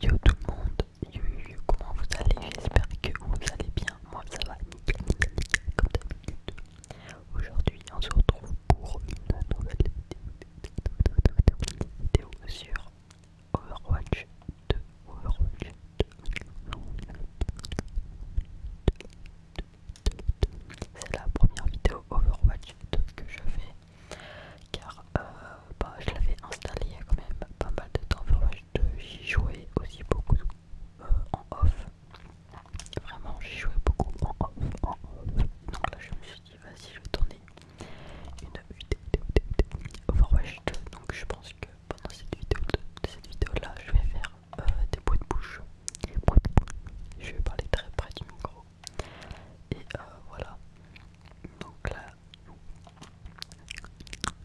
Yo tout le monde, yo, yo, yo comment vous allez J'espère que vous allez bien, moi ça va nickel, nickel, comme d'habitude. Aujourd'hui on se retrouve pour une nouvelle vidéo sur Overwatch 2, Overwatch 2, c'est la première vidéo Overwatch 2 que je fais car euh, bah, je l'avais installé il y a quand même pas mal de temps, 2 j'y jouais aussi beaucoup euh, en off, vraiment j'y jouais beaucoup en off, donc là je me suis dit vas-y je vais tourner une vidéo Overwatch 2, donc je pense que pendant cette vidéo, de, cette vidéo là je vais faire euh, des bouts de bouche, je vais parler très près du micro et euh, voilà. Donc là,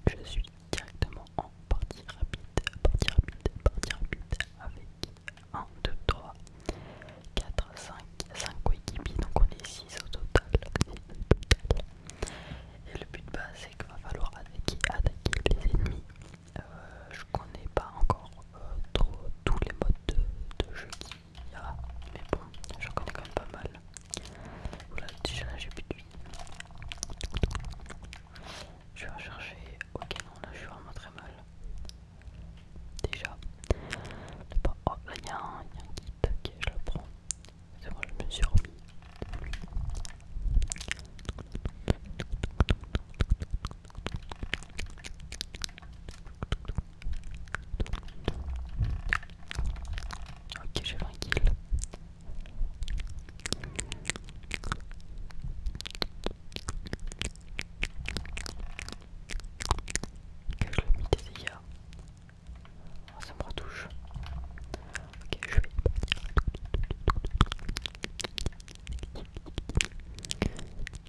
je suis directement en partie rapide, partie rapide, partie rapide avec 1, 2, 3, 4, 5, 5 coéquipiers. Donc on est 6 au total. Et le but base c'est qu'il va falloir attaquer, les ennemis. Euh, je connais pas encore euh, tous les modes de jeu qui a, ah, mais bon, je connais quand même pas mal. Oula, déjà là j'ai plus de vie. Je vais rechercher. Ok, non, là je suis vraiment très mal. Déjà. oh, là il a un kit. Ok, je le prends. C'est bon, je me suis remis. Ok, j'ai 20 kills. je le des ah, ça me retouche. Ok, je vais.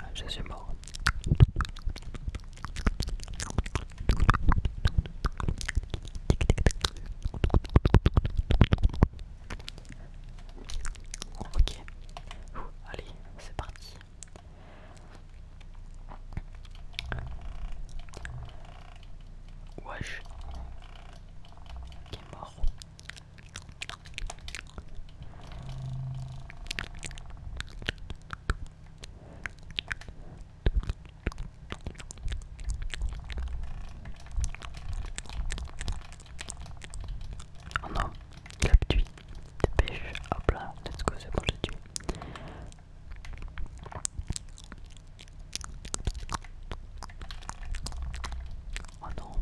Ah, je suis mort. Ok. allez, c'est parti. Wesh. Qui est mort. Oh non, il a tué. Dépêche, hop là, let's go, c'est bon, le tué. Oh non,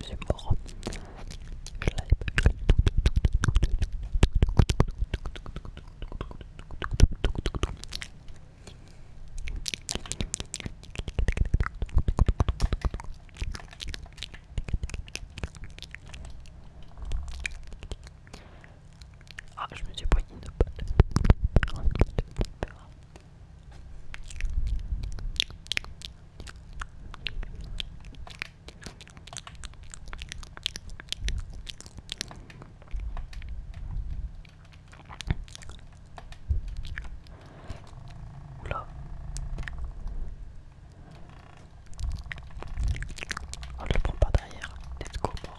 c'est mort. Je l'avais pas vu. Ah, je me suis pris une balle. Oula. Ah, On le prend pas derrière. Let's go, mort.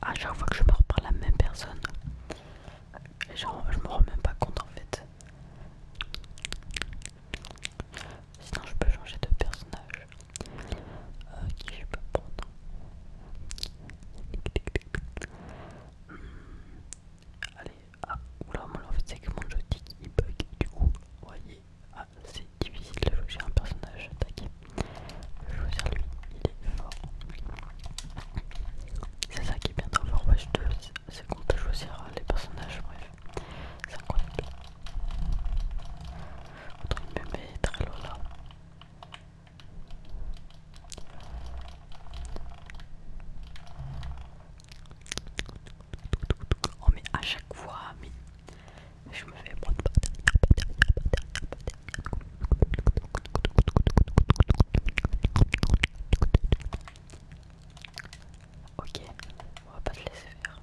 À chaque fois que je parle par la même personne, genre, je me rends même pas compte en fait. Sinon, je peux changer de personnage. Euh, qui je peux prendre Allez, ah, oula, mon en fait, c'est que mon joystick il bug. Du coup, vous voyez, ah, c'est difficile de choisir un personnage. Tac, je vais choisir lui, il est fort. C'est ça qui est bien dans Overwatch 2, c'est qu'on peut choisir hein, les personnages, bref, c'est incroyable. Autant me très Oh mais à chaque fois mais je me fais prendre. OK, on va pas se laisser faire.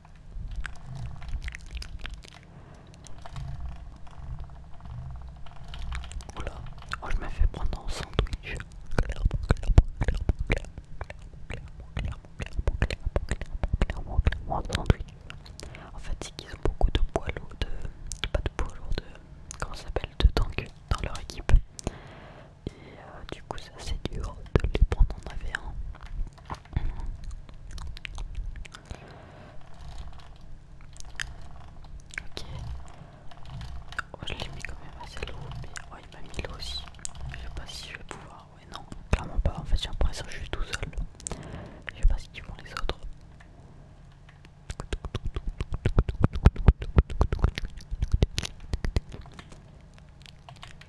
je me fais prendre en sandwich. En fait, c'est qu'ils ont beaucoup de poils de, pas de de, comment s'appelle, de tank dans leur équipe. Et euh, du coup, c'est assez dur de les prendre en av Ok. Oh, je l'ai mis quand même assez lourd, mais oh, il m'a mis là aussi. Je sais pas si je vais pouvoir. Ouais, non, clairement pas. En fait, j'ai l'impression que je suis tout seul. Je sais pas si tu vois les autres.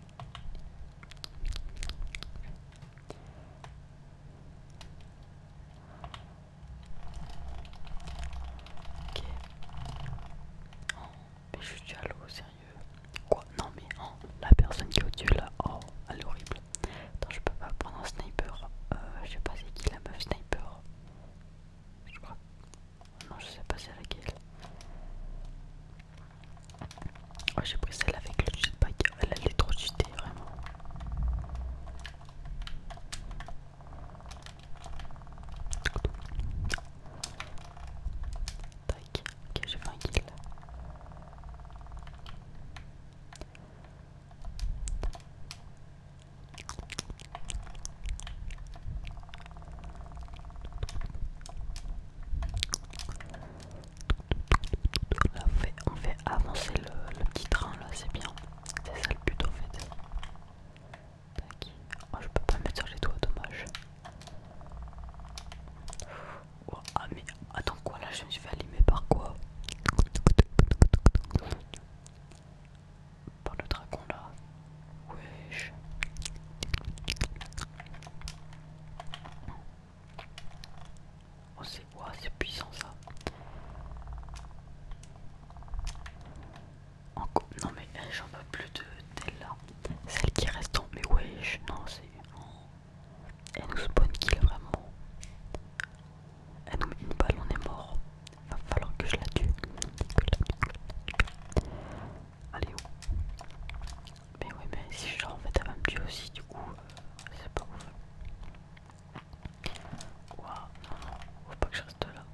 Ok. Oh, mais je suis à sérieux. Quoi Non, mais oh, la personne qui est au-dessus là, oh, elle est horrible. Attends, je peux pas prendre un sniper. Euh, je sais pas c'est qui la meuf sniper. Je crois. Non, je sais pas c'est laquelle. Oh, j'ai pris celle avec le jetpack, elle allait trop jetée vraiment. Tac, ok, j'ai fait un kill on fait, avancer le, petit train là, c'est bien. C'est ça le but en fait. je peux pas mettre sur les doigts, dommage. ah, mais attends, quoi là Je me suis fait allumer par quoi Par le dragon là Wesh. Oh c'est puissant ça. Non mais eh, j'en veux plus de celle là. Celle qui reste en... Mais wesh, non c'est... Oh. Elle nous spawn kill vraiment. Elle nous met une balle, on est mort. Va falloir que je la tue. Allez où oh. Mais oui, mais si je leur en fait elle me aussi du coup euh, c'est pas ouf. Waouh non non faut pas que je reste là.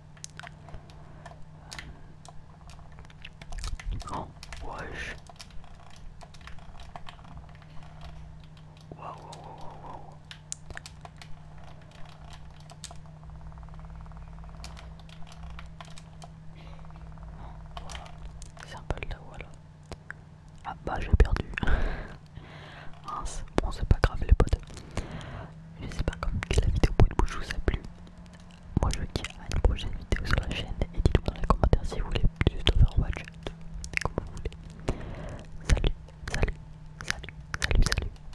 Euh, oh wesh Waouh waouh waouh waouh c'est un peu là, Ah bah j'ai perdu. bon c'est pas grave les potes. Je sais pas comme la vidéo bout de bouche vous a plu. Moi je vous dis à une prochaine vidéo sur la chaîne et dites-moi dans les commentaires si vous voulez plus d'Overwatch, comme vous voulez. Salut, salut, salut, salut, salut.